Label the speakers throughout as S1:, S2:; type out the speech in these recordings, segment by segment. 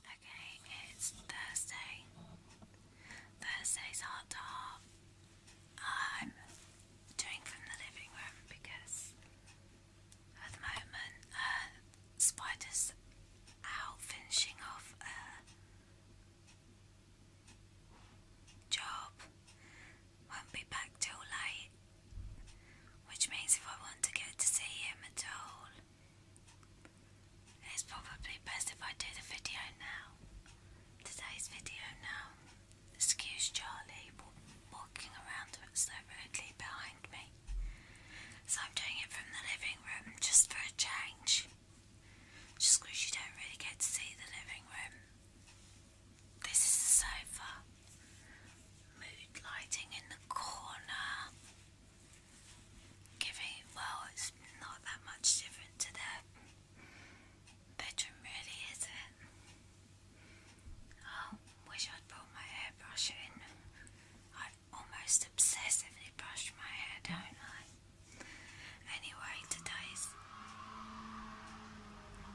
S1: Okay, it's Thursday. Thursday's heart to heart. I'm doing from the living room because at the moment uh, Spider's out finishing off a job. Won't be back till late, which means if I want to get to see him at all, it's probably best if I do the video now. Today's video now. Excuse Charlie walking around so rudely behind me. So I'm doing it from the living room just for a change. Just because you don't really get to see the living room. This is the sofa. Mood lighting in the corner giving, well, it's not that much different to their bedroom, really, is it? I oh, wish I'd brought my hairbrush in. I have almost obsessively brushed my hair, don't I? Anyway, today's.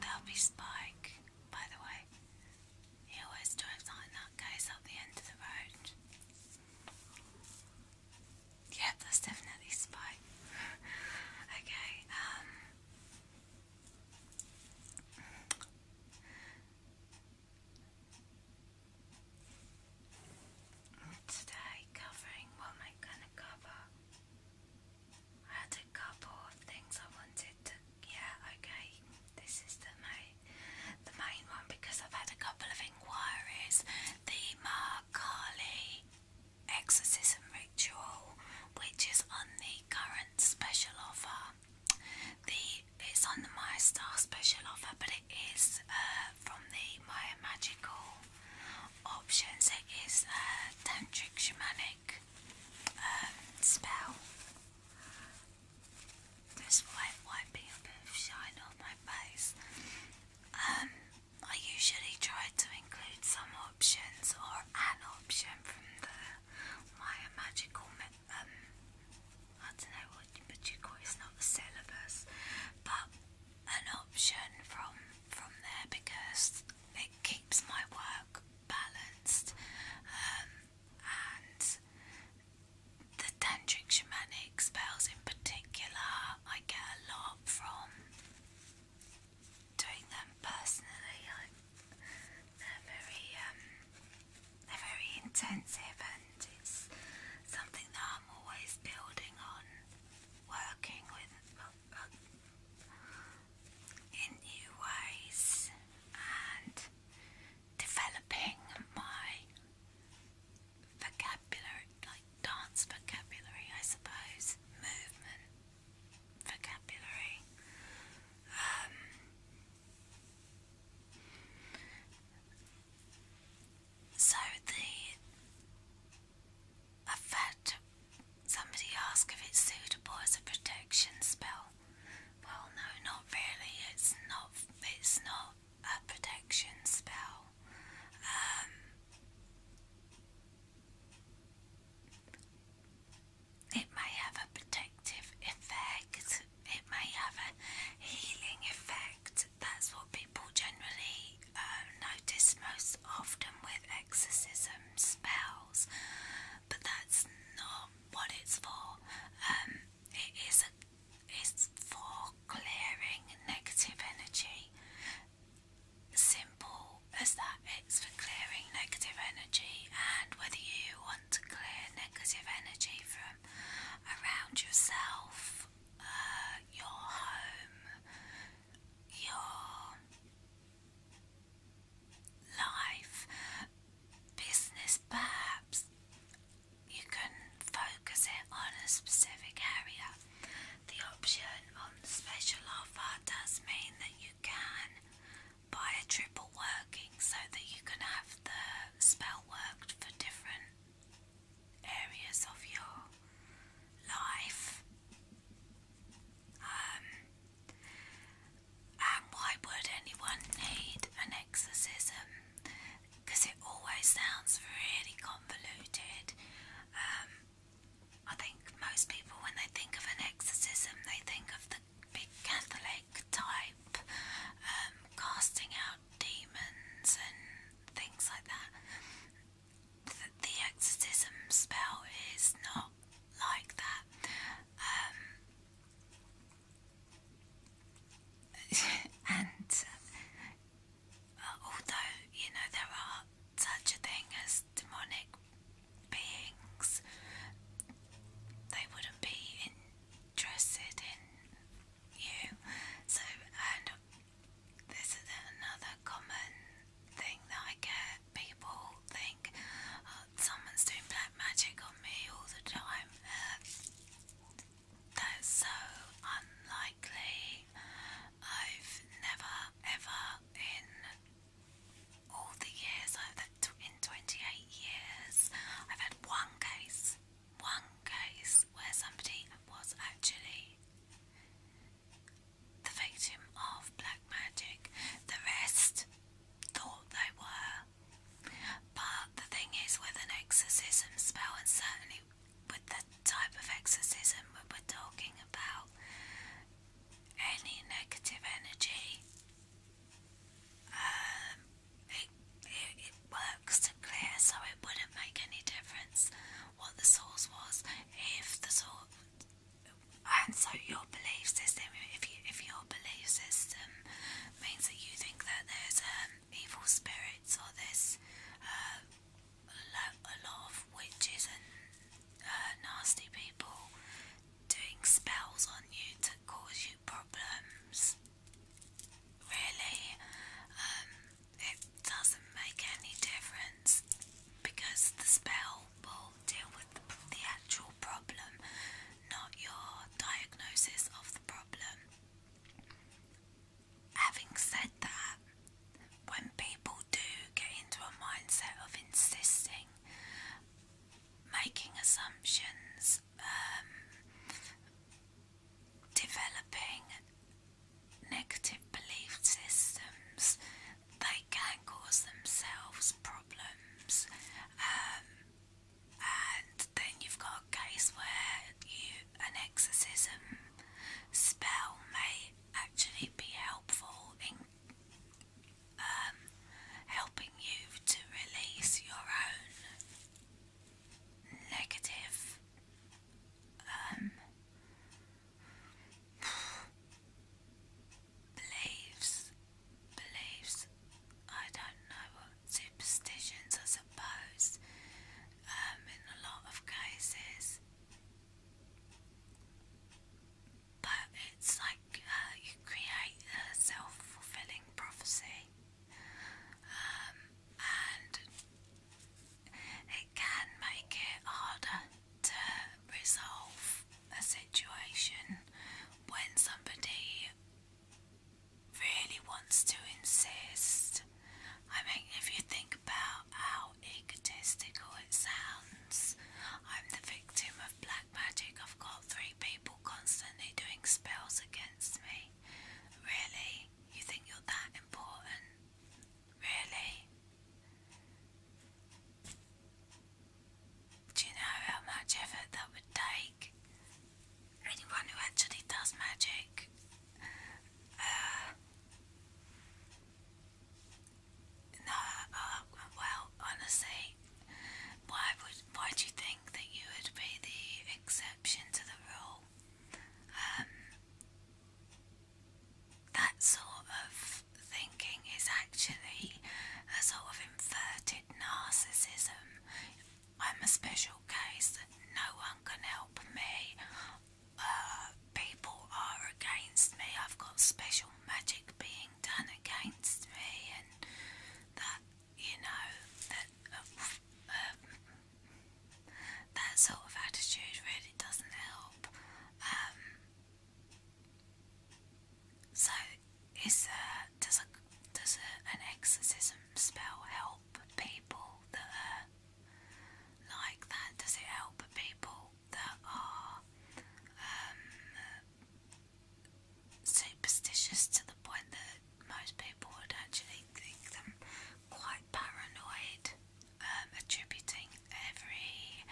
S1: There'll be Spike, by the way. He always drives like that, goes up the end of the road. Yeah, that's definitely Spike. okay, um, Today, covering what am I gonna cover? I had a couple of things I wanted to. Yeah, okay, this is the main, the main one because I've had a couple of inquiries. The Mark exorcism ritual, which is on the current special offer. The it's on the My Star special offer, but it is uh, from the My Magical options. It is a uh, tantric shamanic um, spell. This wiping a bit of shine on my face. Um, I usually try to include some options or an option from the my magical um I don't know what you but not a syllabus, but an option from from there because it keeps my work balanced um, and the tantric shamanic spells in particular, I get a lot from doing them personally. they're very, um, they're very intensive, and it's something that I'm always building on, working with uh, in new ways, and developing my vocabulary, like dance vocabulary, I suppose, movement vocabulary. Um, so the I've had somebody ask if it's suitable as a protection spell well, no, not really. It's not. It's not a protection spell. Um, it may have a protective effect. It may have a healing effect. That's what people generally um, notice most often with exorcism spells. But that's not what it's for. Um, it is a, it's for clearing negative energy. Simple as that, it's for clearing negative energy, and whether you want to clear negative energy from around yourself, uh, your home, your life, business, perhaps you can focus it on a specific area. The option on the special offer does mean that you can buy a triple working so that you can have the spell worked for different areas of your life. Um, and why would anyone need an exorcism? Because it always sounds really convoluted. Um, I think most people, when they think of an exorcism, they think of the big Catholic type, um, casting out demons and things like that. The, exorcism spell is not like that. Um, and uh, although you know there are such a thing as demonic beings, they wouldn't be interested in you. So, and this is another common thing that I get. People think oh, someone's doing magic on me all the time. That's so unlikely. I've never, ever, in all the years, I've in 28 years, I've had one case, one case where somebody was actually the victim of black magic. The rest thought they were but the thing is, with an exorcism spell, and certainly with the type of exorcism we're talking about, any negative energy, um, it, it, works to clear, so it wouldn't make any difference what the source was. If the source, and so your belief if you if you your belief system means that you think that there's um, evil spirits or there's uh, a lot of witches and uh, nasty people doing spells on you to cause you problems. Really, um, it doesn't make any difference because the spell will deal with the actual problem not your diagnosis of the problem. Having said that, when people do get into a mindset of insisting, making assumptions, um, developing negative belief systems, they can cause themselves problems. Um, and then you've got a case where you an exorcism spell may actually be helpful in um, helping you to release your own negative um, beliefs beliefs. I don't know what superstitions, I suppose, um, in a lot of cases. But it's like uh, you create a self fulfilling prophecy, um, and it can make it harder to resolve a situation when somebody really wants to insist. I mean, if you think about how egotistical it sounds, I'm the victim of black magic. I've got three people constantly doing spells against me. Really? You think you're that important? Really? Do you know how much effort that would take? Anyone who actually does magic. Uh, no, uh, well, honestly, why would why do you think that you would be the exception to the rule? Um, that sort of thinking is actually a sort of inverted narcissism. I'm a special case. that No one can help me. Uh, people are against me. I've got special magic being done against me, and that you know that uh, um, that sort of attitude really doesn't help. Um, so, is there, does a, does an exorcism spell help people that are like that? Does it help people that are um, superstitious to the point that most people would actually think them quite paranoid, um, attributing every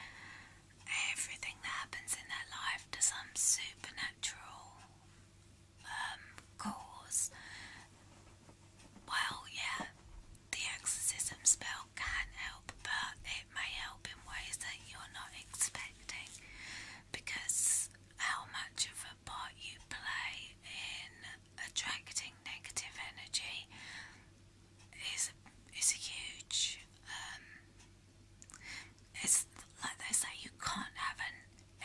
S1: everything that happens in their life to some supernatural um, cause. Well, yeah, the exorcism spell can help, but it may help in ways that you're not expecting because how much of a part you play in attracting negative energy is is a huge um, it's like they say, you can't have an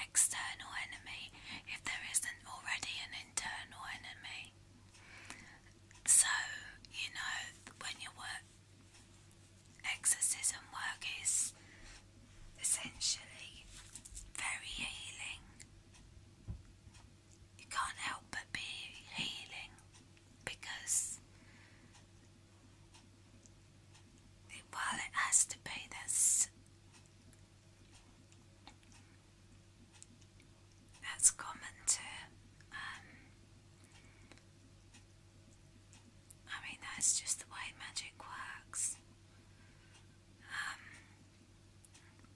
S1: external enemy if there isn't already an internal enemy. So, you know, when your work, exorcism work is essentially very healing, you can't help but be healing because they wanted us to pay this. That's common too. Um, I mean, that's just the way magic works. Um,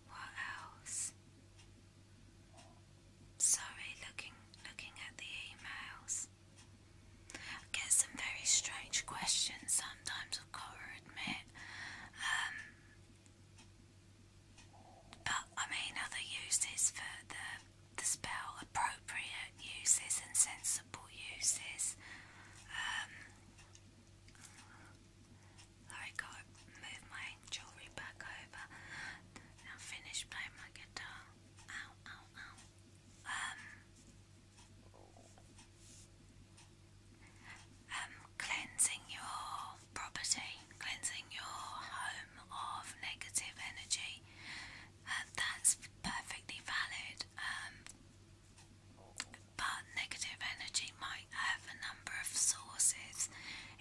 S1: what else? Sorry, looking looking at the emails. I get some very strange questions sometimes, I've to admit. Um, but I mean, other uses for the, spell, appropriate uses and sensible uses. Um, I move my jewellery back over. Now finish playing my guitar. Um, um, cleansing your property, cleansing your home of negative energy. Uh, that's perfectly valid. Um, but negative energy might have a number of sources.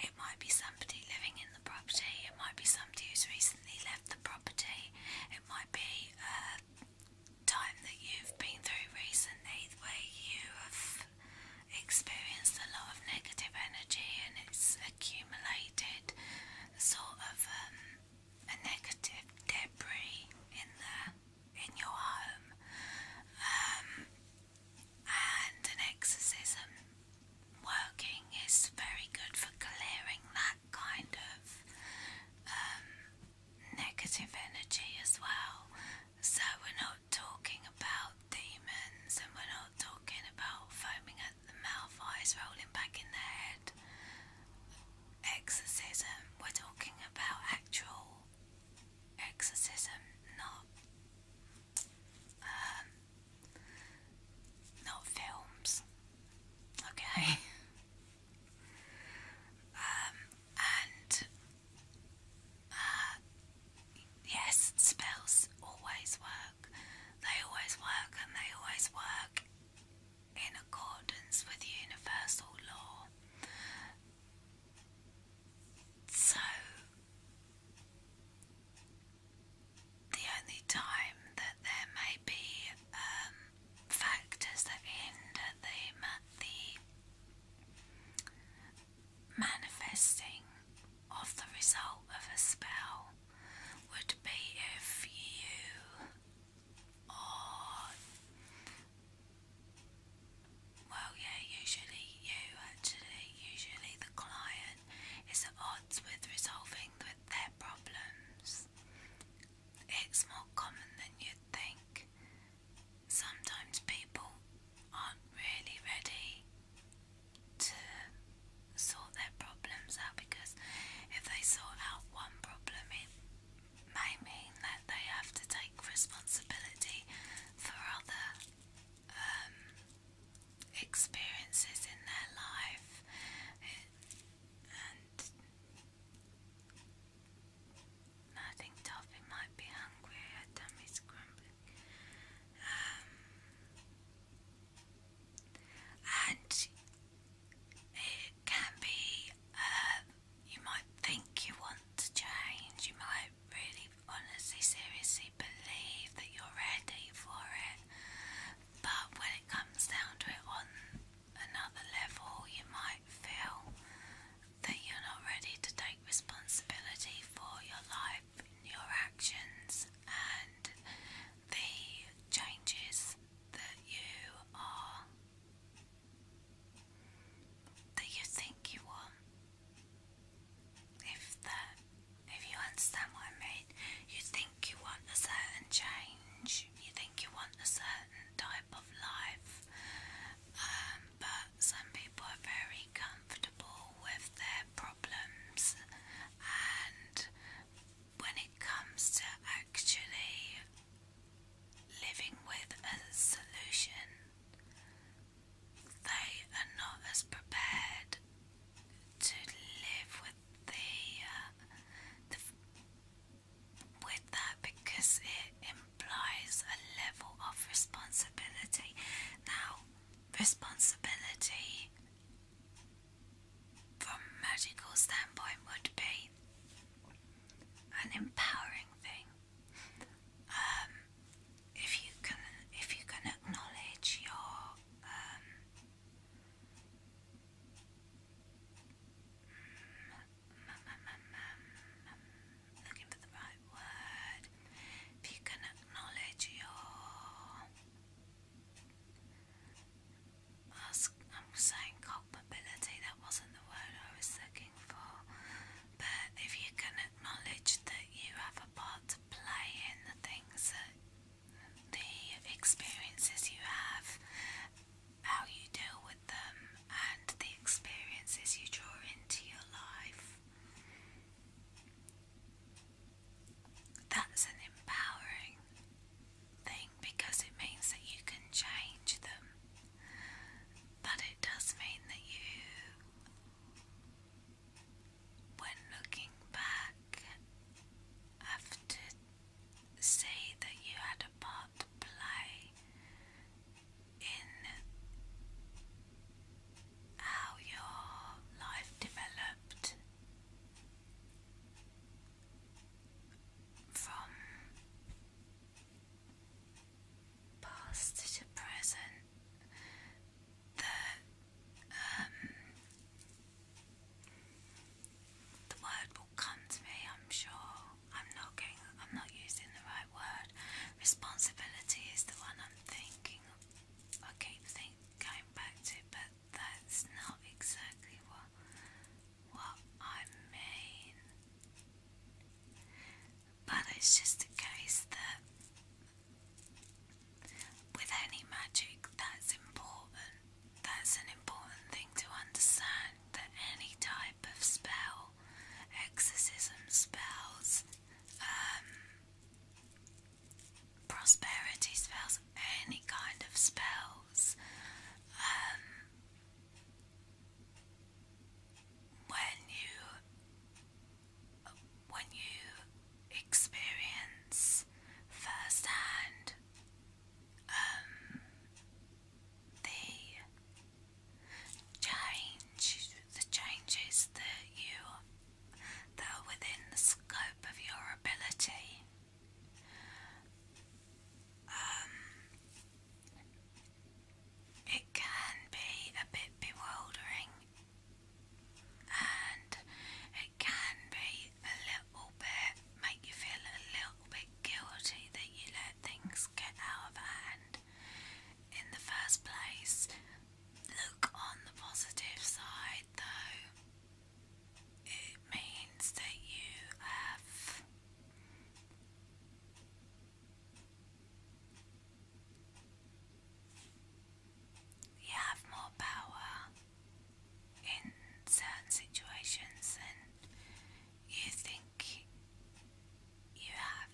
S1: It might be somebody living in the property, it might be somebody who's recently recently left the property. It might be a time that you've been through recently where you have experienced a lot of negative energy and it's accumulated sort of um, a negative debris in the in your home. Um, and an exorcism working is very good for clearing that kind of um, negative energy as well. So, we're not talking about demons and we're not talking about foaming at the mouth, eyes rolling back in the head, exorcism. We're talking about actual exorcism, not. Um, not films. Okay. Um, and uh, yes, spells always work. They always work, and they always work in accordance with universal law. So the only time that there may be um, factors that hinder the, the manifesting of the result of a spell would be if you are well yeah usually you actually usually the client is at odds with resolving their problems it's more common than you'd think. Sometimes people aren't really ready to sort their problems out because if they sort out one problem, it may mean that they have to take responsibility for other um, experiences in their life and I think Toffee might be hungry, her tummy's grumbling. Um, and it can be, um, you might think you want to change, you might really honestly, seriously believe that you're ready for it, but when it comes down to it on another level, you might feel that you're not ready to take responsibility for your life, your actions, and the changes that you are that you think you want. If that if you understand what I mean, you think you want a certain change, you think you want a certain type of life, um, but some people are very comfortable with their problems, and when it comes to actually living with a solution, they are not as prepared to live with uh, the, with that because it implies a level of responsibility. Now, responsibility from a magical standpoint would be an empowering thing. Um, if you can, if you can acknowledge your um, Looking for the right word. If you can acknowledge your. I'm saying culpability, that wasn't the word I was looking for. But if you can acknowledge that you have a part to play in the things the experiences you have, how you deal with them, and the experiences you draw into your life. That's an empowering thing because it means that you can change them, but it does mean that you when looking back, have to say that you had a part to play in how your life developed from past to present. The um, the word will come to me, I'm sure. I'm not getting, I'm not using the right word. Responsibility is the one I'm thinking. I keep think, going back to, but that's not exactly what what I mean. But it's just a case that with any magic, that's important. That's an important thing to understand that any type of spell, exorcism spells, um, prosperity spells, any kind of spells, um, when you when you experience firsthand. Um, the change, the changes that you that are within the scope of your ability. Um, it can be a bit bewildering, and can be a little bit, make you feel a little bit guilty that you let things get out of hand in the first place. Look on the positive side though, it means that you have you have more power in certain situations than you think you have.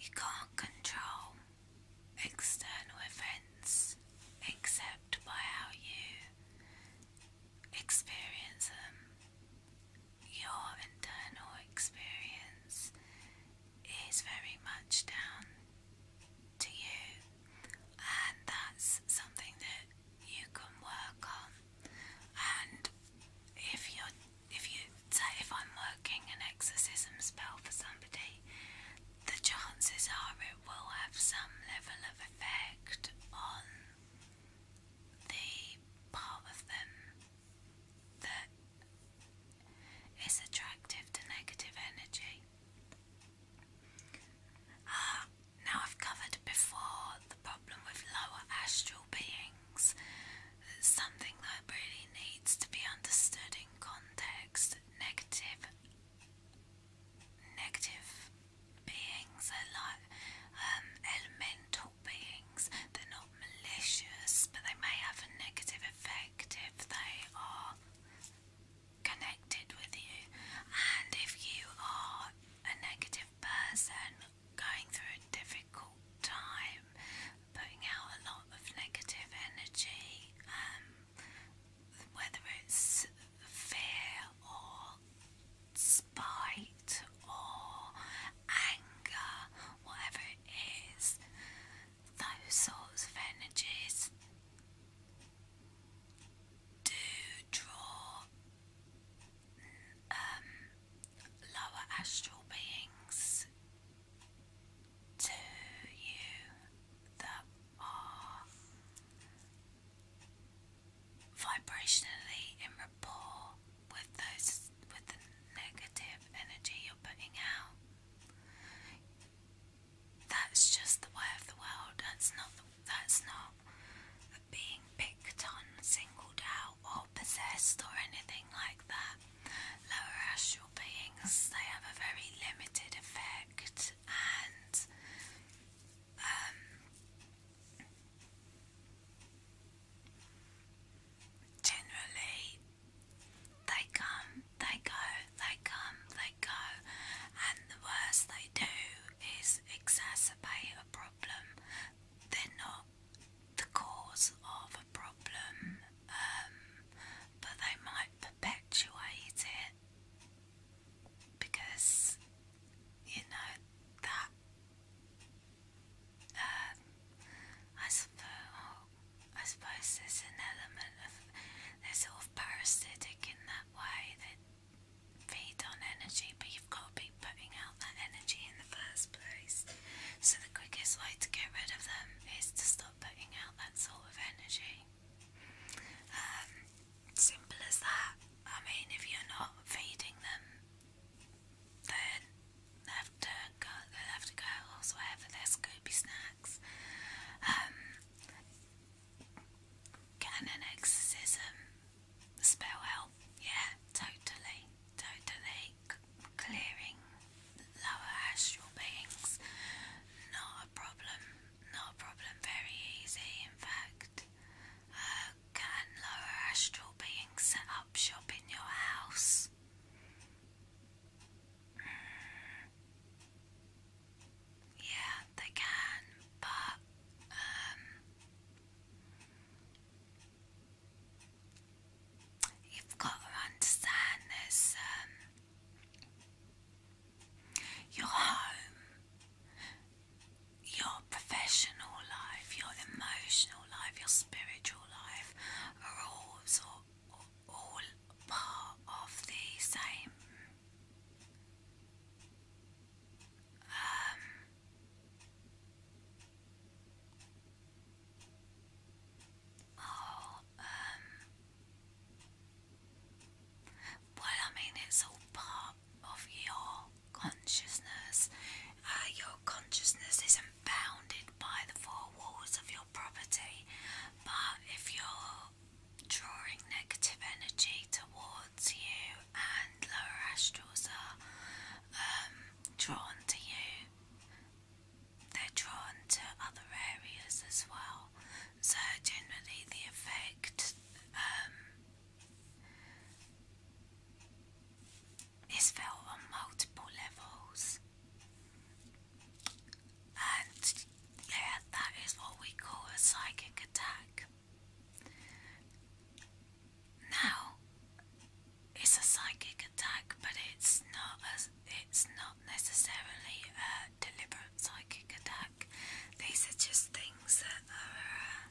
S1: You can't control external events except by how you experience them. Your internal experience is very much down to you, and that's something that you can work on. And if you if you if I'm working an exorcism spell for somebody, the chances are it will have some level of effect on the part of them that is attractive to negative energy. Uh, now, I've covered before the problem with lower astral beings. something that really needs to be understood in context. Negative, negative beings are like um, elemental beings. They're not malicious, but they may have a negative effect if they are connected with you. And if you are a negative person going through a difficult time, putting out a lot of negative energy, um, whether it's fear or spite or anger, whatever it is, those sorts of energies do draw um, lower astral beings to you that are vibrationally in rapport with those with the negative energy you're putting out that's just the way of the world. That's not that's not being picked on, singled out, or possessed, or anything like that. Lower astral beings they have a very limited effect, and um, generally they come, they go, they come, they go, and the worst they do is exacerbate a problem. They're not the cause of a problem, um, but they might perpetuate it because you know that. Um, I suppose. I suppose there's an element of they're sort of parasitic in that way. They feed on energy, but you've got to be putting out that energy in the first place. So the quickest way to get rid of them is to stop putting out that sort of energy. Um, simple as that. I mean, if you're not feeding them, then they have to go. They have to go elsewhere for their Scooby snacks. Um, can an exorcism spell help? Yeah, totally, totally. clearing lower astral beings, not a problem, not a problem, very easy, in fact. Uh, can lower astral beings set up shop in your house? Yeah, they can, but um, you've got to understand this um, your home, your professional life, your emotional life, your spiritual life are all all part of the same oh, well, I mean, it's all part of your consciousness. Uh, your consciousness isn't bounded by the four walls of your property, but if you're drawing negative energy towards you, and lower astrals are um, drawn to you. They're drawn to other areas as well. So generally, the effect um, is felt on multiple levels. And yeah, that is what we call a psychic attack. Now, it's a psychic attack, but it's not as it's not necessarily a deliberate psychic attack. These are just things that are. Uh,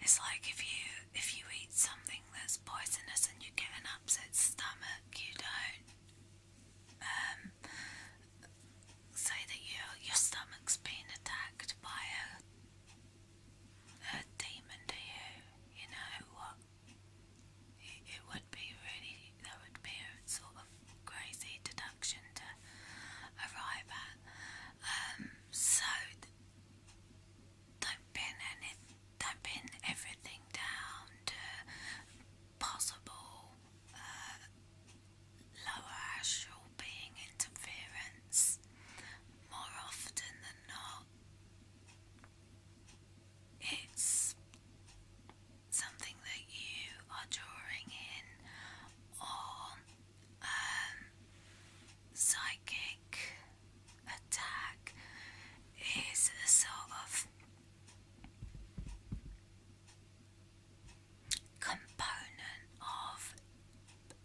S1: it's like if you if you eat something that's poisonous and you get an upset stomach, you don't. Um, say that you, your stomach's being attacked by a, a demon to you, you know what? It, would be really, that would be a sort of crazy deduction to arrive at. Um, so, don't pin, any, don't pin everything down to possible uh, lower astral being interference. More often than not, it's something that you are drawing in or um, psychic attack is a sort of component of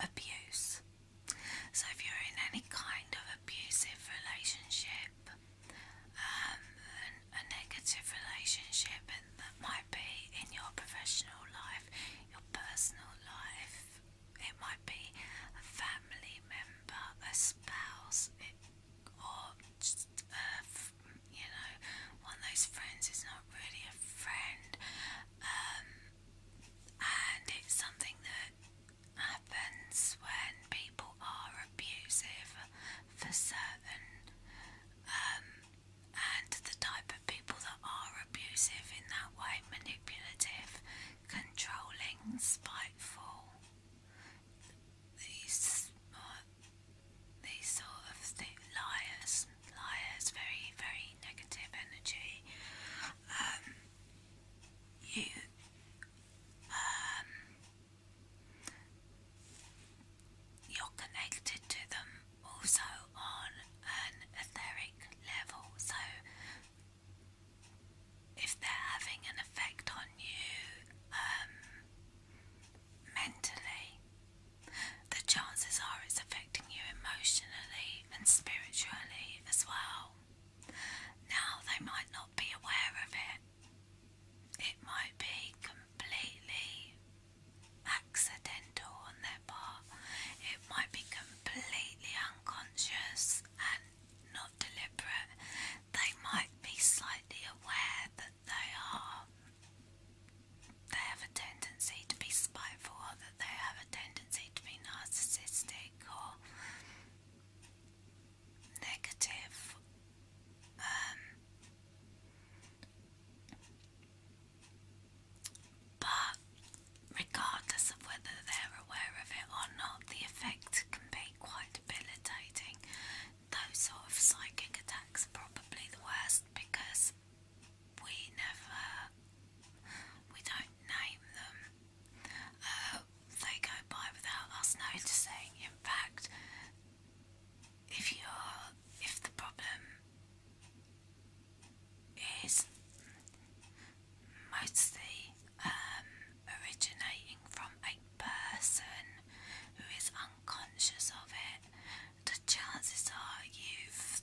S1: abuse. So, if you're in any kind of abusive relationship, um, a, negative relationship, and that might be in your professional life, your personal life, it might be a family member, a spouse, it, or just, uh, you know, one of those friends is not really a friend, um, and it's something that happens when people are abusive for certain, um, and the type of people that are abusive in that way, manipulative, controlling, spiteful. These uh, these sort of th- liars, liars, very, very negative energy. Um, you, um, you're connected to them also on an etheric level. So, if they're having an effect on you, um, mentally. The chances are it's affecting you emotionally and spiritually as well. Now they might not be aware of it, it might be completely accidental on their part, it might be completely unconscious and not deliberate they might be slightly aware that they are, they have a tendency to be spiteful, that they have a tendency to be narcissistic or negative. Um, but regardless of whether they're aware of it or not, the effect can be quite debilitating those sort of psychic attacks are probably the worst because we never, we don't name them. Uh, they go by without us noticing. In fact, if you're, if the problem is mostly um, originating from a person who is unconscious of it, the chances are you've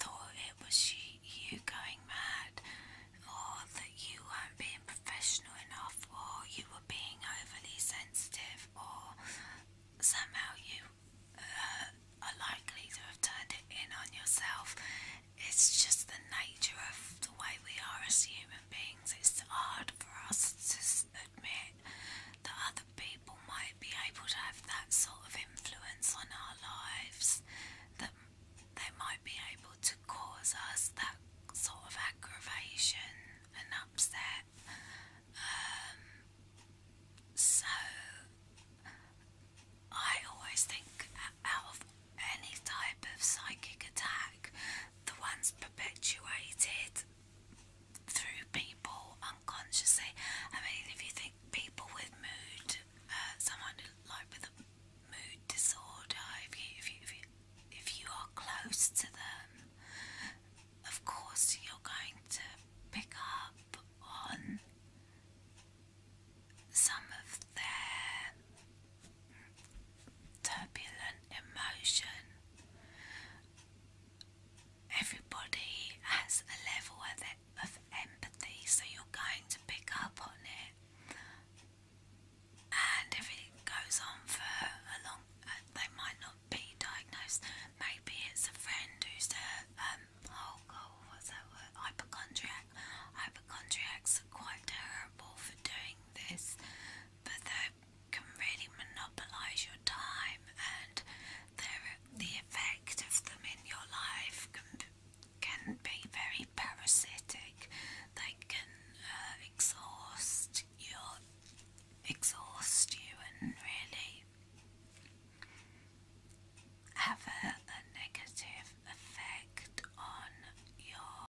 S1: thought it was you, you going mad, or that you weren't being professional enough, or you were being overly sensitive, or somehow you uh, are likely to have turned it in on yourself. It's just the nature of the way we are as human beings it's hard for us to admit that other people might be able to have that sort of influence on our lives, that they might be able to cause us that sort of aggravation and upset. Um, so, I always think out of any type of psychic attack, the ones perpetuated through people unconsciously. I mean, if you think people with mood, uh, someone like with a mood disorder, if you, if you, if you are close to them, of course you're going to pick up on some of their turbulent emotion. Everybody has a level of empathy, so you're going to pick up on it. And if it goes on for a long, uh, they might not be diagnosed. Maybe it's a friend who's a um, oh Hypochondriac. are quite terrible for doing this but they can really monopolize your time, and the effect of them in your life can can be very parasitic. They can uh, exhaust your exhaust you and really have a negative effect on your